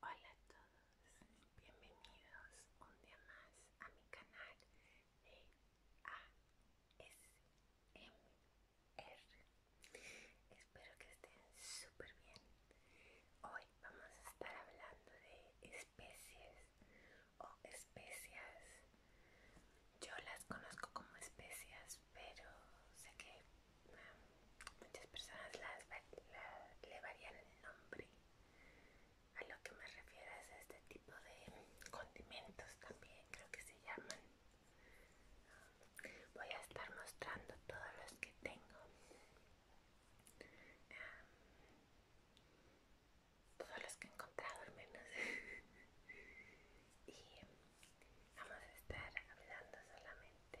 Hola a todos, bienvenidos un día más a mi canal de ASMR. Espero que estén súper bien. Hoy vamos a estar hablando de especies o especias. Yo las conozco como especias, pero sé que muchas personas las, le varían el nombre. A lo que me refiero es a este tipo de condimentos también, creo que se llaman. Voy a estar mostrando todos los que tengo. todos los que he encontrado al menos. y vamos a estar hablando solamente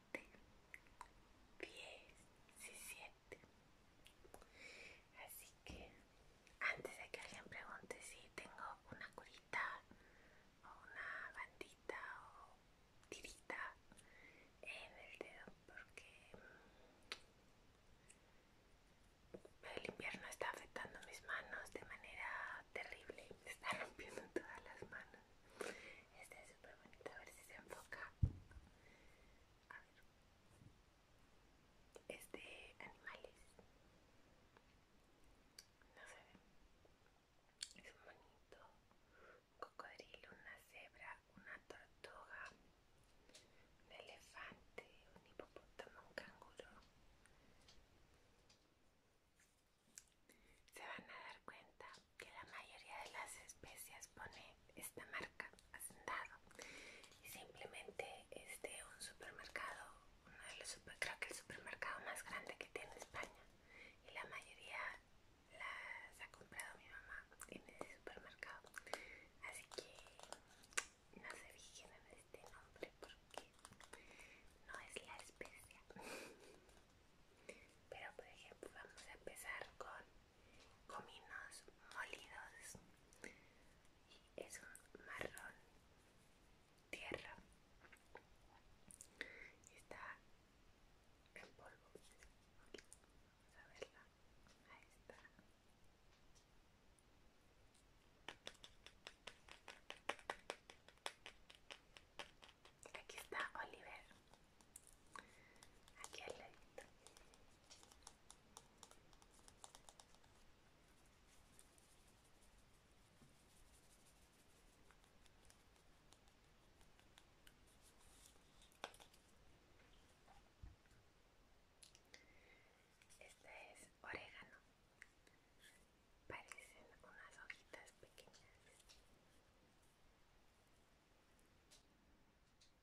10 17. Así que antes de que alguien pregunte si tengo una curita o una bandita o tirita en el dedo, porque mm, el invierno está afectando mis manos de manera terrible, me está rompiendo todas las manos. Este, a ver si se enfoca. A ver. Es de animales. No se ve. Es un bonito. Un cocodrilo, una cebra, una tortuga, un elefante, un hipopótamo, un canguro. Se van a dar cuenta que la mayoría de las especias pone esta marca hacendado y simplemente es de un supermercado creo que el supermercado más grande que tiene España y la mayoría las ha comprado mi mamá en ese supermercado así que no se fijen en este nombre porque no es la especia pero por ejemplo vamos a empezar con cominos molidos y es un marrón tierra está en polvo vamos a verla ahí está aquí está Oliver aquí al este es orégano parecen unas hojitas pequeñas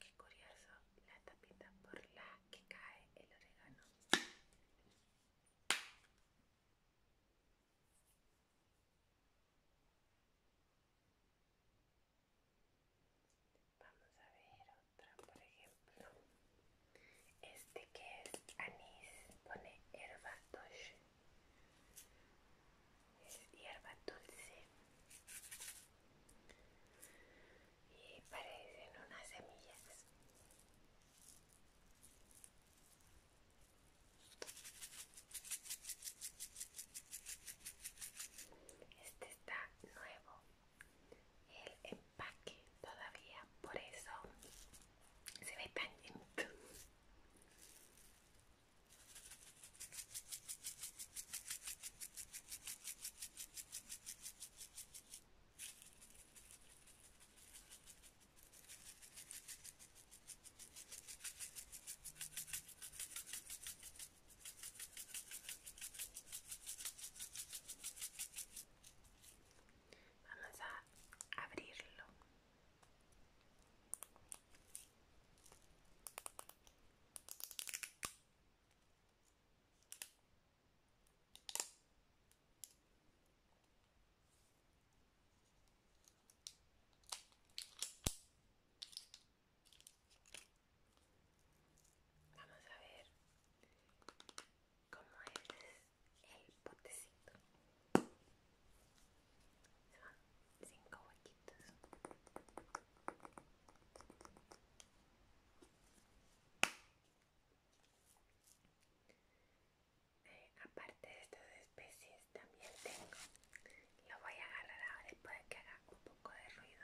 Qué curioso la tapita por la que cae el orégano. Vamos a ver otra, por ejemplo. Este que es anís, pone herba es hierba dulce y parecen unas semillas este está nuevo el empaque todavía por eso se ve tan Vamos a abrirlo. Vamos a ver cómo es el potecito. Son cinco huequitos. Eh, aparte de estas especies también tengo. Lo voy a agarrar ahora después de que haga un poco de ruido.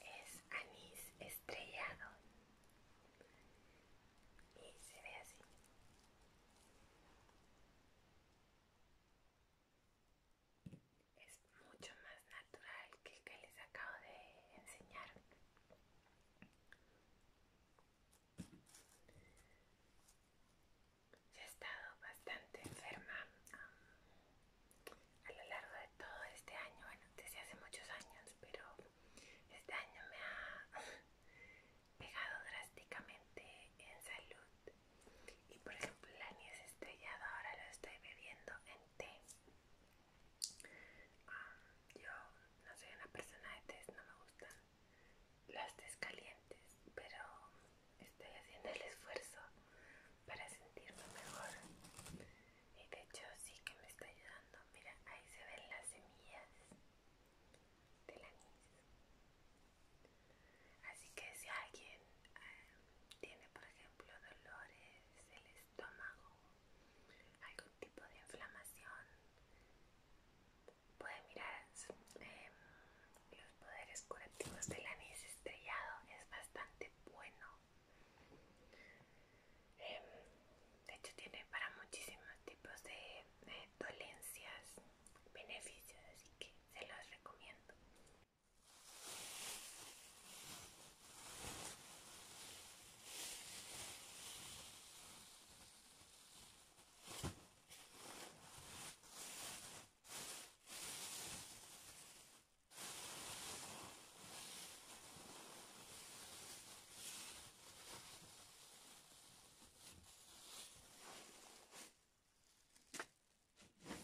Es anís estrellado y se ve así es mucho más natural que el que les acabo de enseñar he estado bastante enferma um, a lo largo de todo este año bueno desde hace muchos años pero este año me ha pegado drásticamente en salud. Y por ejemplo, la anís estrellada ahora lo estoy bebiendo en té. Ah, yo no soy una persona de té, no me gustan los tés calientes, pero estoy haciendo el esfuerzo para sentirme mejor. Y de hecho, sí que me está ayudando. Mira, ahí se ven las semillas del anís. Así que si alguien eh, tiene, por ejemplo, dolores del estómago, algún tipo de inflamación, puede mirar em, los poderes curativos del anís estrellado, es bastante bueno. Em, de hecho, tiene para muchísimos tipos de eh, dolencias, beneficios, así que se los recomiendo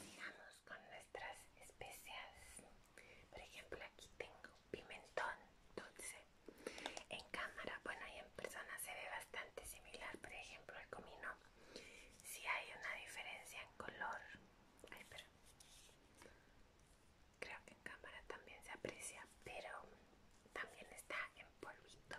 Sigamos con nuestras especias. Por ejemplo, aquí tengo pimentón dulce. En cámara, bueno, y en persona se ve bastante similar, por ejemplo, el comino. Si hay una diferencia en color. creo que en cámara también se aprecia, pero también está en polvito.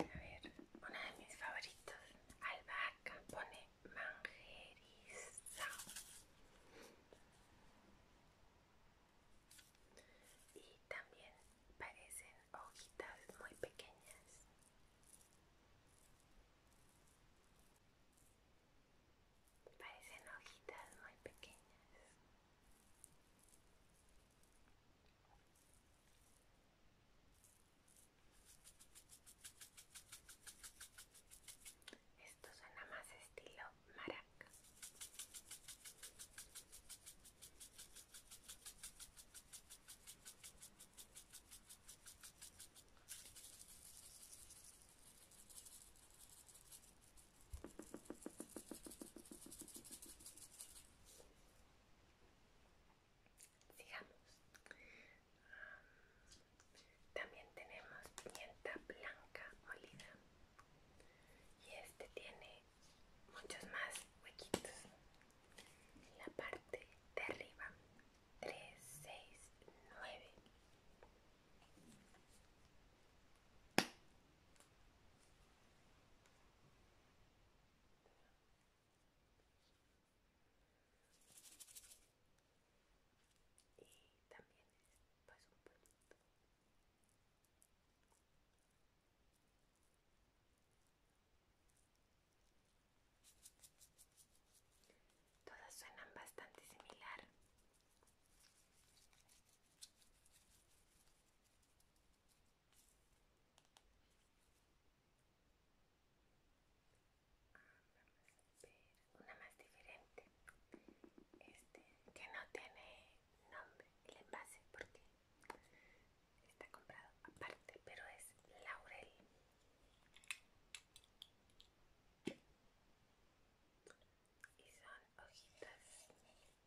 A ver, una de mis favoritos, albahaca, pone manjeriza Y también parecen hojitas muy pequeñas. Parecen hojitas muy pequeñas. Esto suena más estilo maraca. Sigamos. también tenemos pimienta blanca molida. Y este tiene muchos más huequitos. En la parte de arriba. 3, 6, 9. Y también pues un producto Todas suenan bastante similar, Vamos a una más diferente. Este que no tiene nombre el envase porque está comprado aparte, pero es laurel y son hojitas hay diversos tamaños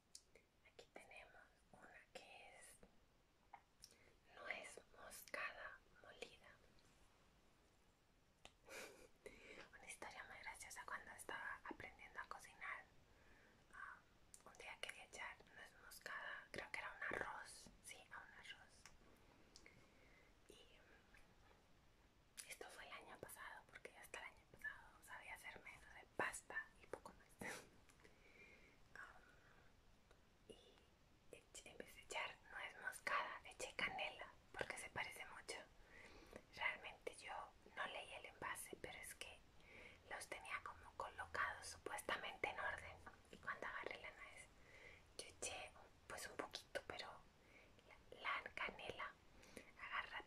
Aquí tenemos una que es nuez moscada molida. una historia muy graciosa cuando estaba aprendiendo a cocinar. Ah, un día quería echar nuez moscada, creo que era un arroz, sí, a un arroz. Y esto fue el año pasado, porque hasta el año pasado sabía hacer menos de pasta y poco más y empecé en vez echar nuez moscada eché canela porque se parece mucho realmente yo no leí el envase pero es que los tenía como colocados supuestamente en orden y cuando agarré la nuez yo eché pues un poquito pero la, canela agarra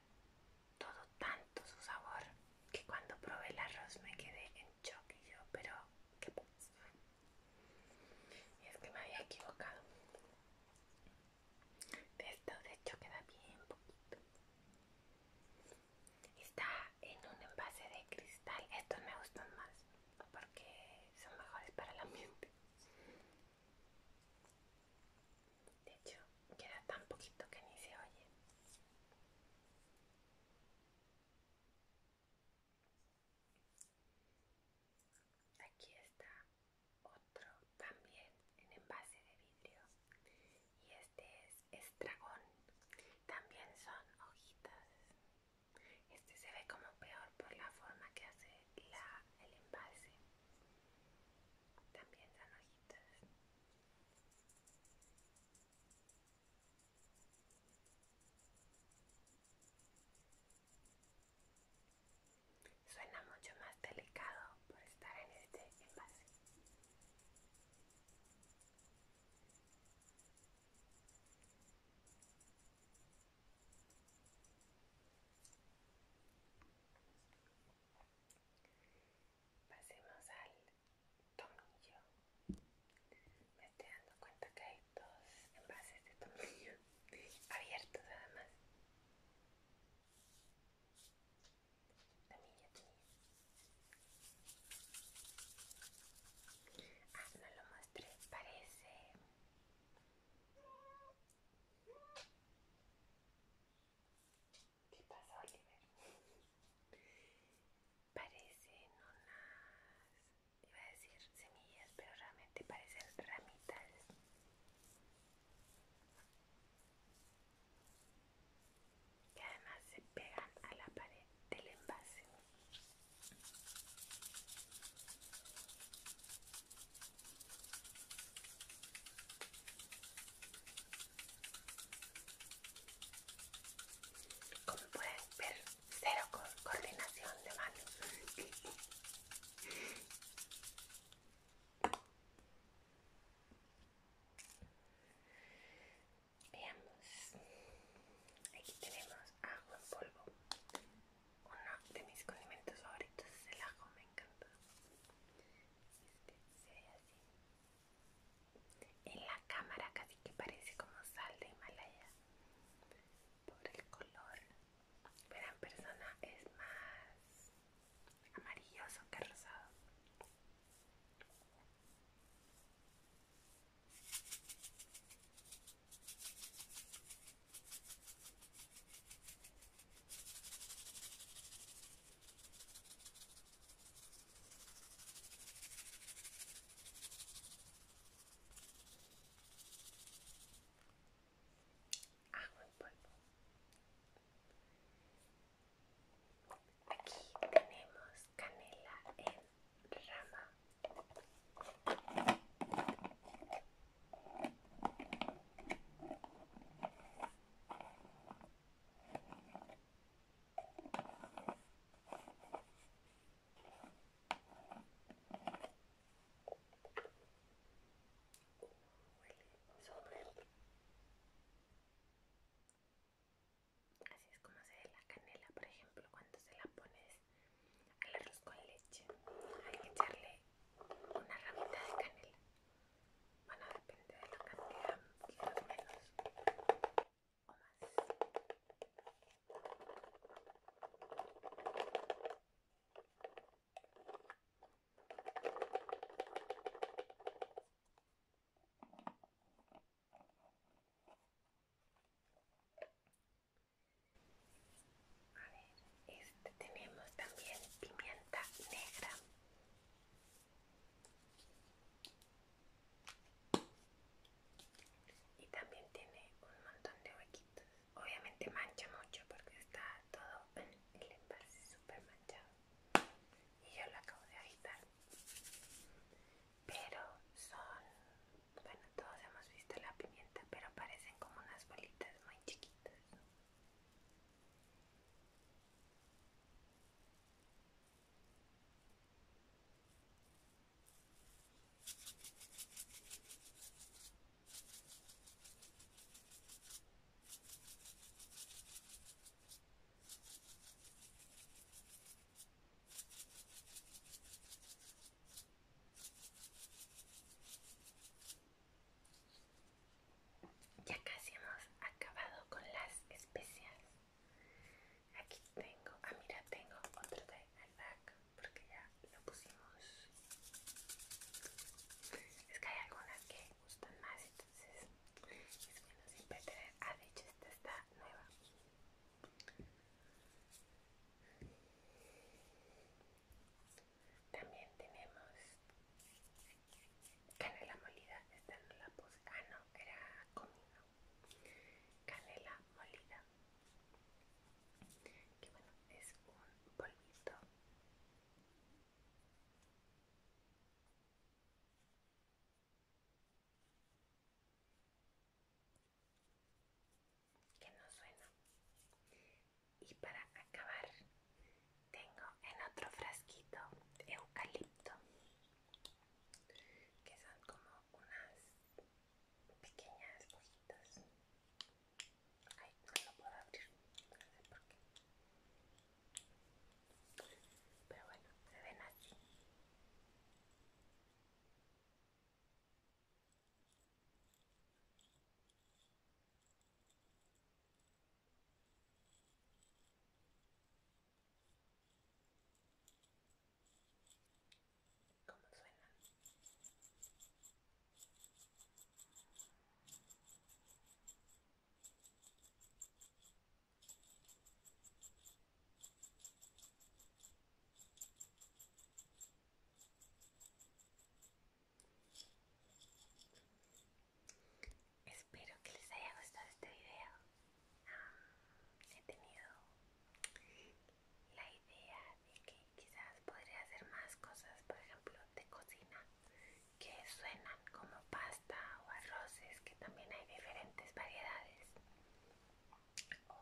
todo tanto su sabor que cuando probé el arroz me quedé en mucho que yo, pero ¿qué pasa? es que me había equivocado. De esto de hecho queda bien poquito. Está en un envase de cristal. Estos me gustan más porque son mejores para el ambiente. De hecho, queda tan poquito que ni se oye. Aquí está otro también en envase de vidrio y este es estragón. También son hojitas. Este se ve como peor por la forma que hace el envase. También son hojitas. Suena mucho más delicado por estar en este envase pasemos al tomillo. Me estoy dando cuenta que hay dos envases de tomillo abiertos además. Tomillo, tomillo. Ah, no lo mostré, parece... ¿Qué pasa, Oliver? Parecen unas, iba a decir semillas, pero realmente parecen ramitas. Que además se pegan a la pared del envase. Como pueden ver, cero coordinación de manos. Veamos, aquí tenemos ajo en polvo, uno de mis condimentos favoritos es el ajo, me encanta. Este se ve así en la cámara casi que parece como sal de Himalaya por el color pero en persona es más amarilloso que rosado Agua en polvo. Aquí tenemos canela en rama. Así es como se ve la canela, por ejemplo, cuando se la pones al arroz con leche. Hay que echarle una ramita de canela. Bueno, depende de la cantidad, quizás menos este tenemos también pimienta negra y también tiene un montón de huequitos obviamente mancha mucho porque está todo el envase súper manchado y yo lo acabo de agitar pero son bueno todos hemos visto la pimienta pero parecen como unas bolitas muy chiquitas ya casi hemos acabado con las especias. Aquí tengo, ah mira, tengo otro de albac porque ya lo pusimos. Es que hay algunas que gustan más, entonces es bueno siempre tener. Ah, de esta está nueva. También tenemos canela molida, esta no la puse, ah no, era comino, canela molida que bueno es un polvito que no suena y para acabar tengo en otro frasquito eucalipto que son como unas pequeñas hojitas. Ay, no lo puedo abrir, no sé por qué. Pero bueno, se ven así. ¿Cómo suena? Espero que les haya gustado este video he tenido la idea de que quizás podría hacer más cosas, por ejemplo, de cocina, que suenan como pasta o arroces, que también hay diferentes variedades, o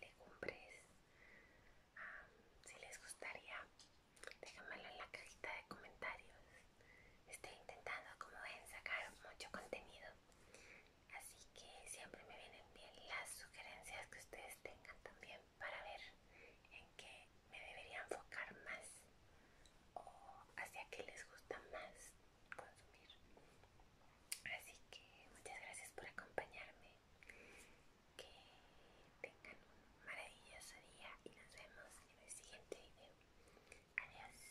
legumbres. si les gustaría, déjamelo en la cajita de comentarios. Estoy intentando como ven sacar mucho contenido Así que siempre me vienen bien las sugerencias que ustedes tengan también para ver en qué me debería enfocar más o hacia qué les gusta más consumir. Así que muchas gracias por acompañarme. Que tengan un maravilloso día y nos vemos en el siguiente video. Adiós.